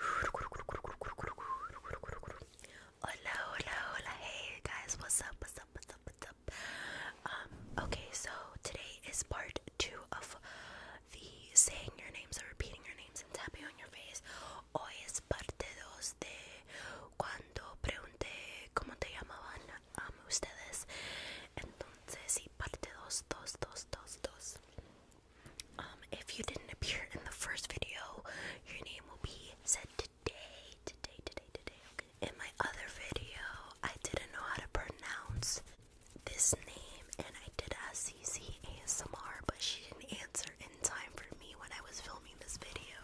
Hola, hola, hola. Hey guys, what's up? What's up? What's up? What's up? Um, okay, so today is part two of the saying your names or repeating your names and tapping on your face. Hoy es parte dos de cuando pregunté cómo te llamaban a um, ustedes. Entonces, sí, parte dos, dos, dos, dos, dos. Um, if you didn't appear in the first video, your name will be said today, today, today, today. Okay. In my other video, I didn't know how to pronounce this name, and I did ask CC ASMR, but she didn't answer in time for me when I was filming this video.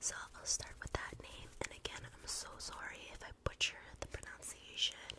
So I'll start with that name, and again, I'm so sorry if I butcher the pronunciation.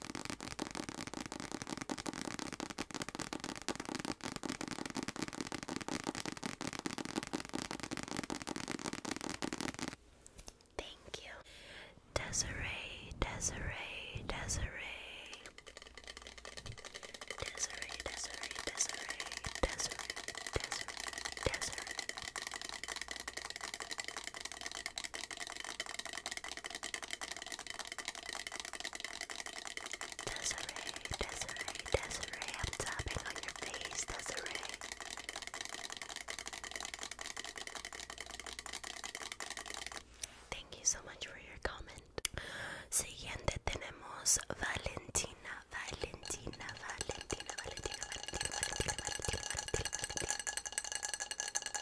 Thank you, Desiree, Desiree, Desiree, Desiree, Desiree, Desiree, Desiree, Desiree, Desiree. Desiree, Desiree, Desiree, I'm tapping on your face, Desiree. Thank you so much for your comment. Siguiente tenemos Valentina, Valentina, Valentina, Valentina.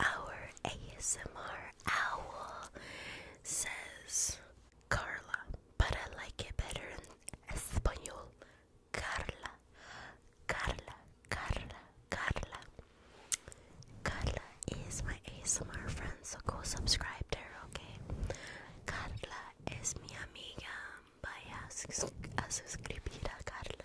Our ASMR owl says Carla, but I like it better in Espanol. Carla, Carla, Carla, Carla. Carla is my ASMR friend, so go subscribe to her, okay? Carla es mi amiga. Vaya a suscribir a Carla.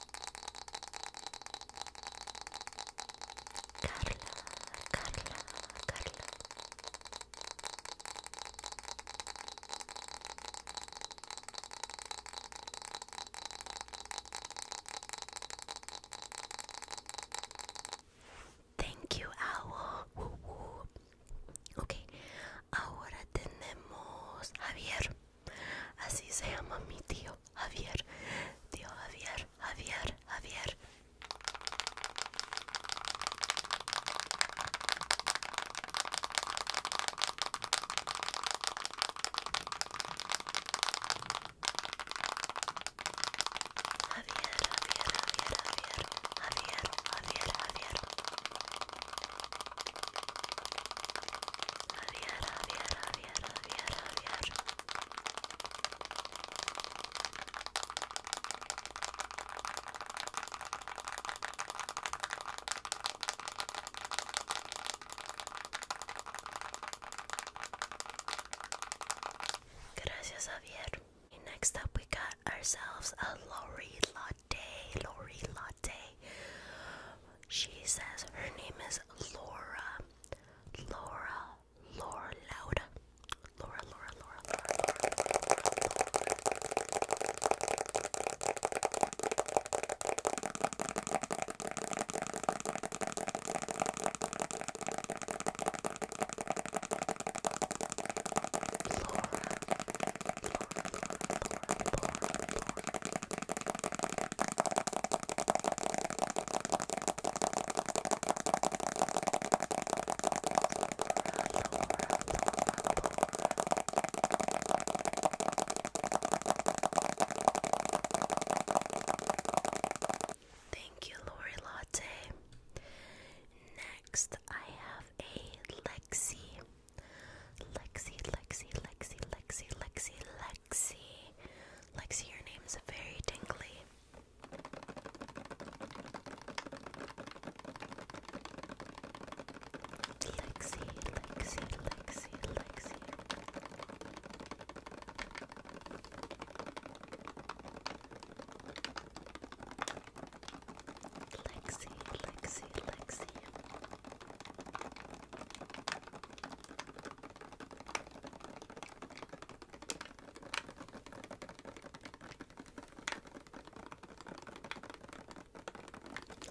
Carla, Carla, Carla. Thank you, Owl. Ok, ahora tenemos Javier. Así se llama mi tío Javier. Tío Javier, Javier, Javier. Javier, Javier, Javier, Javier, Javier, Javier, Gracias, Javier. And next up, we got ourselves a Lori Latte. Lori Latte. She says her name is Laura. Laura, Laura Loud. Laura, Laura, Laura, Laura, Laura. Laura. Thank you, Lori Latte. Next, I have a Lexi. Lexi, Lexi, Lexi, Lexi, Lexi, Lexi. Lexi, your name's very tingly. Lexi, Lexi, Lexi, Lexi. Lexi, Lexi, Lexi.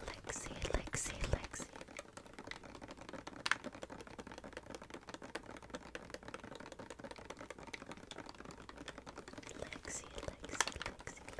Lexi, Lexi, Lexi. Lexi, Lexi, Lexi,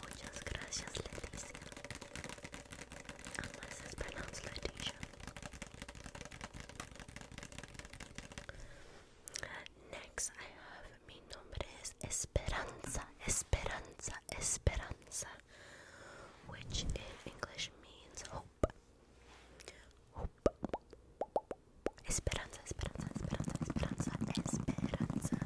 Muchas gracias, Leticia. Unless it's pronounced Leticia. Next, I have mi nombre es Esperanza, Esperanza, Esperanza, which in English means hope. Hope. Esperanza, Esperanza, Esperanza, Esperanza, Esperanza.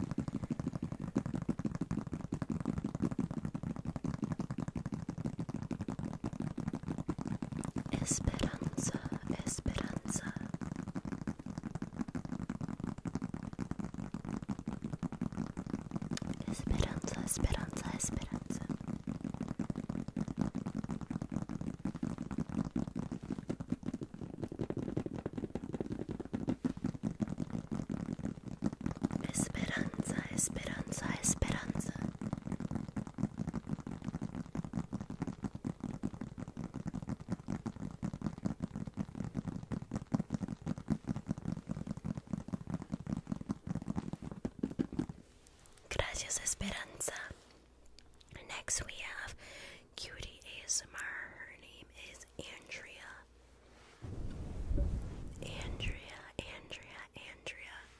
Esperanza, Esperanza. Esperanza, Esperanza, Esperanza. Esperanza, Esperanza, Gracias, Esperanza. Next, we have Cutie ASMR. Her name is Andrea. Andrea, Andrea, Andrea.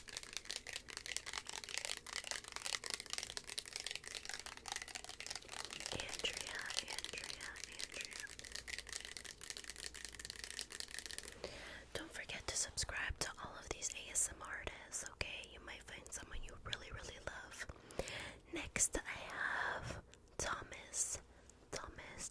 Andrea, Andrea, Andrea. Don't forget to subscribe to all of these ASM artists, okay? You might find someone you really, really love. Next, I have Thomas. Thomas.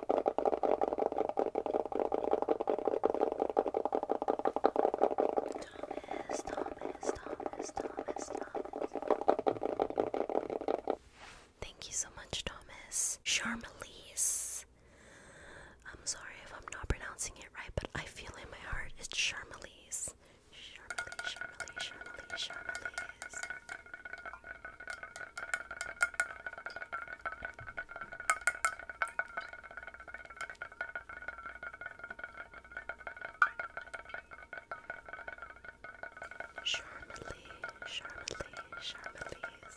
Thomas, Thomas, Thomas, Thomas, Thomas. Thank you so much, Thomas. Charmelise. I'm sorry if I'm not pronouncing it right, but I feel in my heart it's Charmelise. Charmelise, Charmelise, Charmelise, Charmelise. Charmely, Charmely, Charmely's.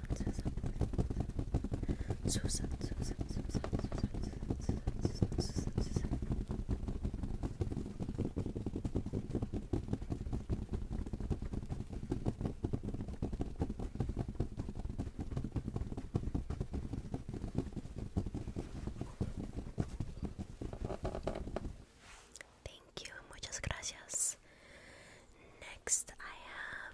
Thank you, muchas gracias. Next, I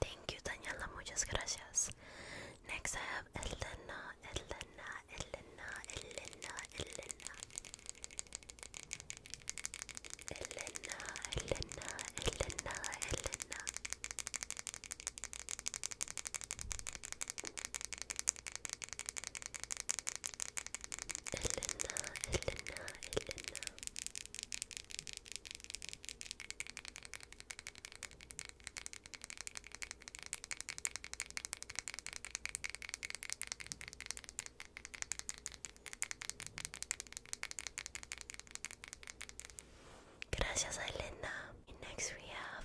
Thank you, Daniela. Muchas gracias. Next, I have Elena, Elena, Elena, Elena, Elena, Elena, Elena, Elena, Elena. Elena, Elena, Elena. Gracias, Elena. Next, we have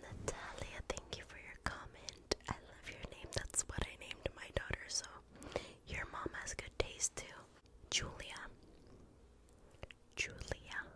Natalia, thank you for your comment. I love your name. That's what I named my daughter, so your mom has good taste too. Julia. Julia.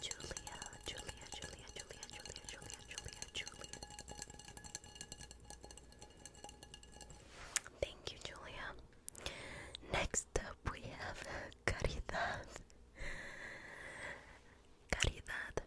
Julia, Julia, Julia, Julia, Julia, Julia, Julia, Julia. Thank you, Julia. Next up, we have Caridad. Caridad,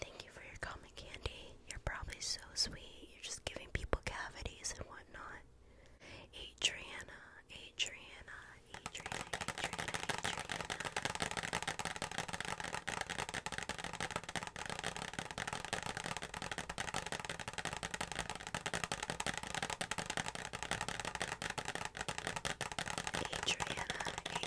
Thank you for your common candy. You're probably so sweet. You're just giving people cavities and whatnot. Adriana, Adriana, Adriana, Adriana, Adriana.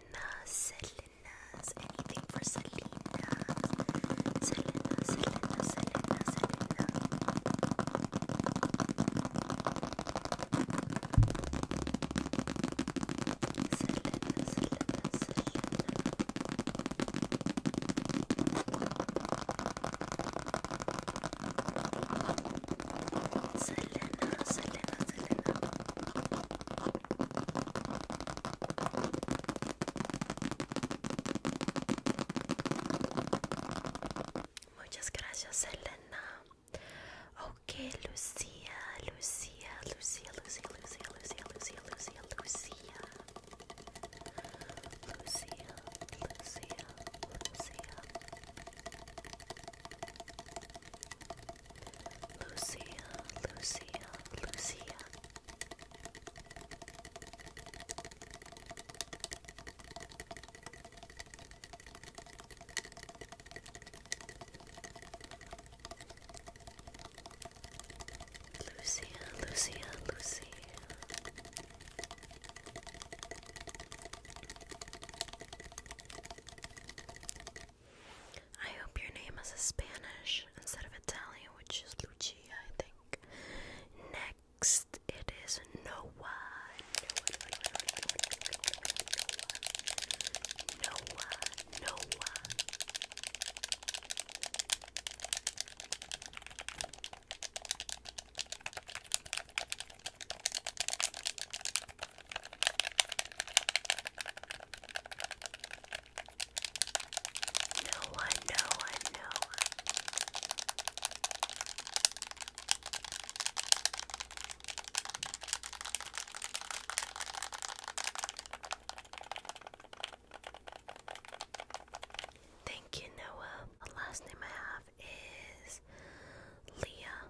Selena, anything for Selena. Selena, Selena, Selena, Selena. Selena, Selena, Selena. Muchas gracias, Selena. Ok, Lucía, Lucía, Lucía, Lucía, Lucía, Lucía, Lucía, Lucía, Lucía. Lucía, Lucía, Lucía. Lucia, Lucia, Lucia. Lucia, Lucia, Lucia. I hope your name is a Spanish instead of Italian, which is Lucia, I think. Next, it is Noah. Noah, Noah, Noah. Noah, Noah. No no no Thank you, Noah. last name I have is Leah.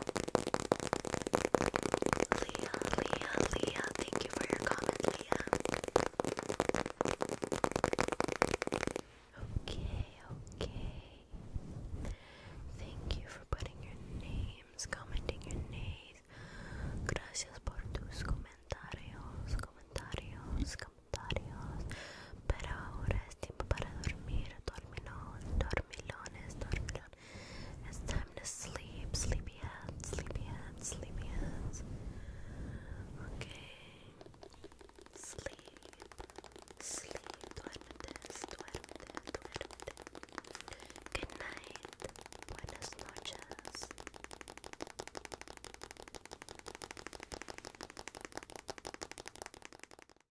Leah, Leah, Leah, thank you for your comment, Leah. Okay, okay. Thank you for putting your names, commenting your names. Gracias por tus comentarios, comentarios, comentarios. Pero ahora es tiempo para dormir. It's time to sleep, sleepyhead, sleepyhead, sleepyhead. Okay. Sleep, sleep, duermetes, Good night, buenas noches.